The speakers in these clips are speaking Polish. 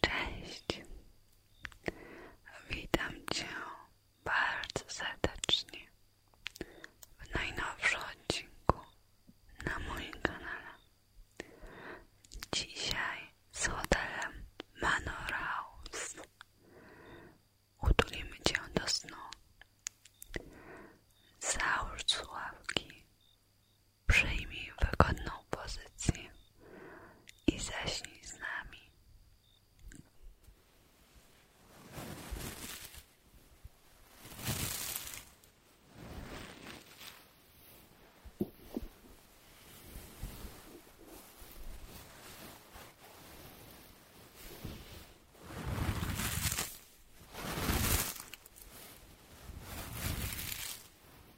Cześć! Witam Cię bardzo serdecznie w najnowszym odcinku na moim kanale. Dzisiaj z hotelem Manor House utulimy Cię do snu. Załóż słuchawki Przyjmij wygodną pozycję i zaśnij z nami.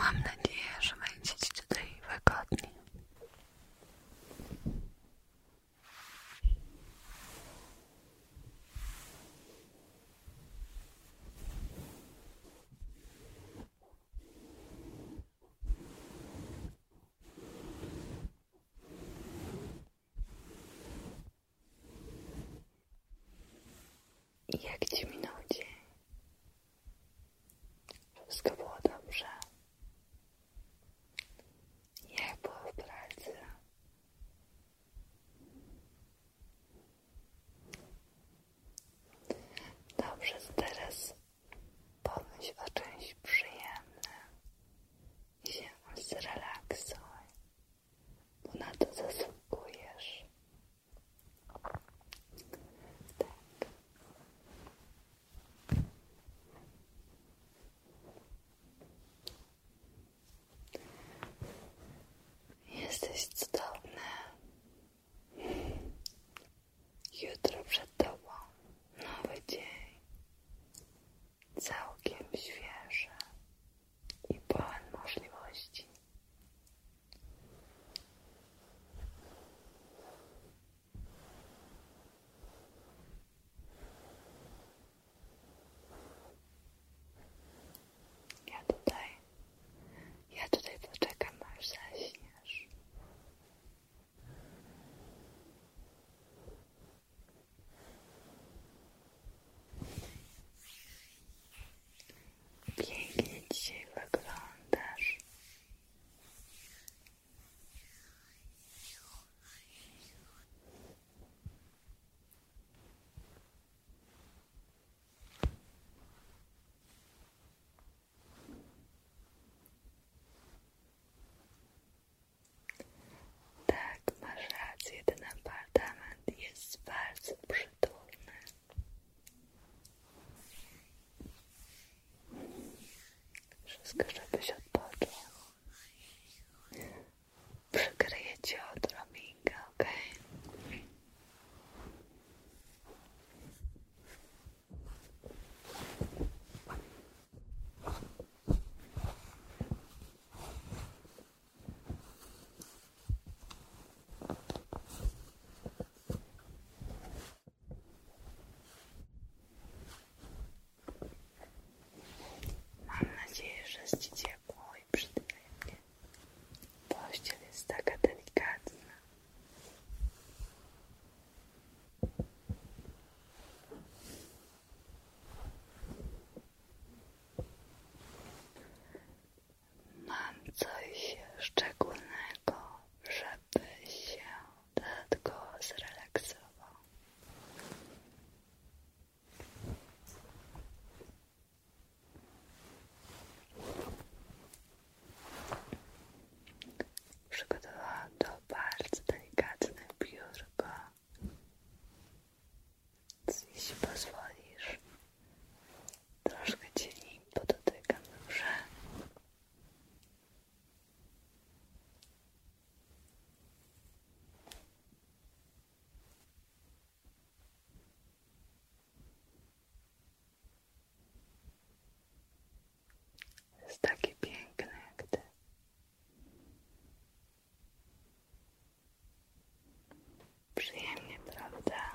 Mam nadzieję, że będziecie tutaj wygodni. Jak ci minął dzień? Wszystko było dobrze. Jak było w pracy? Dobrze, teraz pomyśl o czymś przyjemnym i się zrelaksuj, bo na to zasługujesz. Tak. Jesteś cudowny. Jutro przed tobą nowy dzień. Całkiem świeży i pełen możliwości. Ja tutaj, ja tutaj poczekam, aż zaśniesz. Pięknie dzisiaj tak, masz rację, ten jest bardzo przytulny. Wszystko, żebyś odpoczął przykryję Cię odrobinkę, ok? Mam nadzieję, że z Ci ciepło i przyjemnie. Pościel jest taka delikatna. Mam coś szczególnego, żeby się tego zrelaksował. Przygotowałam to bardzo delikatne biurko. Więc jeśli pozwolisz, troszkę cię nim podotykam, dobrze? Jest takie piękne jak ty. Przyjemnie, prawda?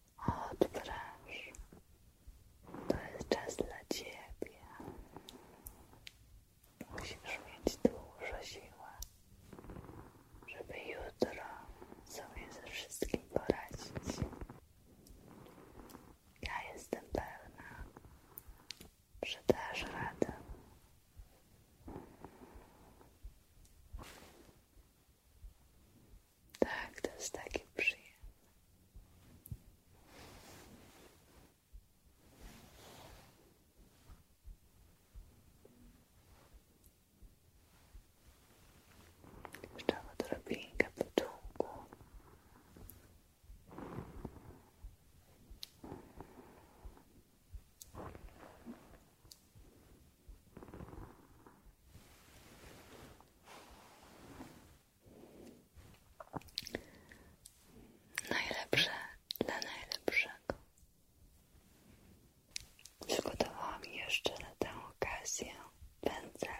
Odpręż. To jest czas dla ciebie. Musisz mieć dużo siły, żeby jutro sobie ze wszystkim poradzić. Ja jestem pewna, że dasz radę. Tak, to jest takie przyjemne. Jeszcze odrobinkę początku. Najlepsze dla najlepszego. Przygotowałam jeszcze na tę okazję pędzelek.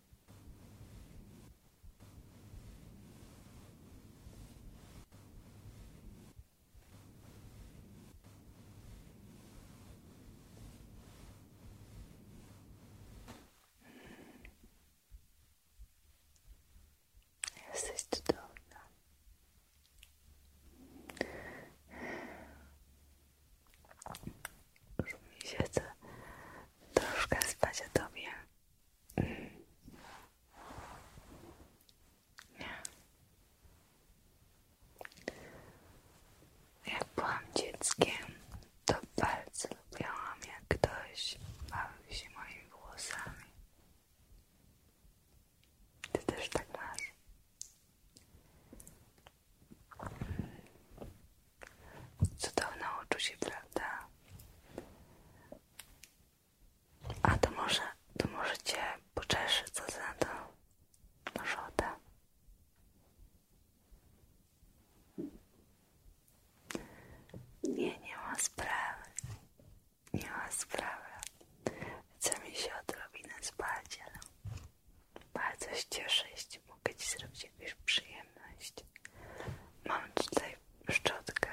Jesteś cudowna. Już mi się chce troszkę spać o tobie. Jak byłam dzieckiem, to bardzo lubiłam, jak ktoś bawił się moimi włosami. Ty też tak masz? Cudowne uczucie, prawda? A to może, to może cię poczeszy, co za to? Może oda? Nie, nie ma sprawy. Nie ma sprawy. Chce mi się odrobinę spać, ale bardzo się cieszę, przyjemności. Mogę Ci zrobić jakąś przyjemność. Mam tutaj szczotkę.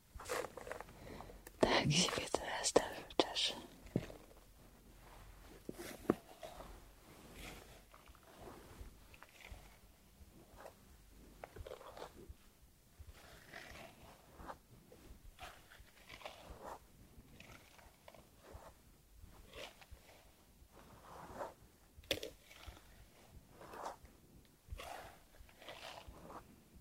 Tak siebie teraz też wyczesz.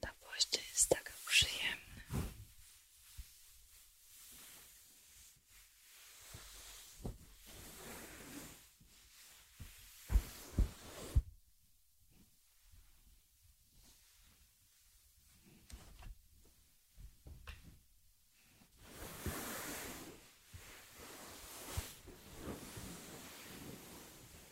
Ta pościel jest taka przyjemna.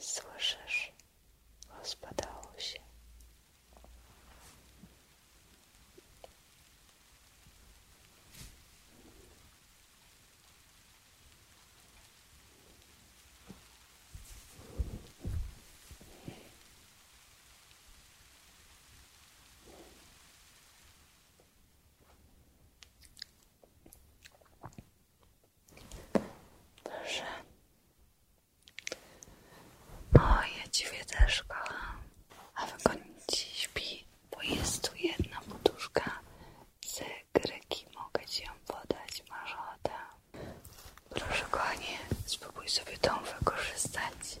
Słyszysz, rozpadało się. Dobrze. O, ja A wygodnie Ci śpi, bo jest jedna poduszka z greki. Mogę Ci ją podać, masz Proszę kochanie, spróbuj sobie tą wykorzystać.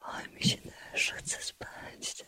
Oj, mi się też chce spać.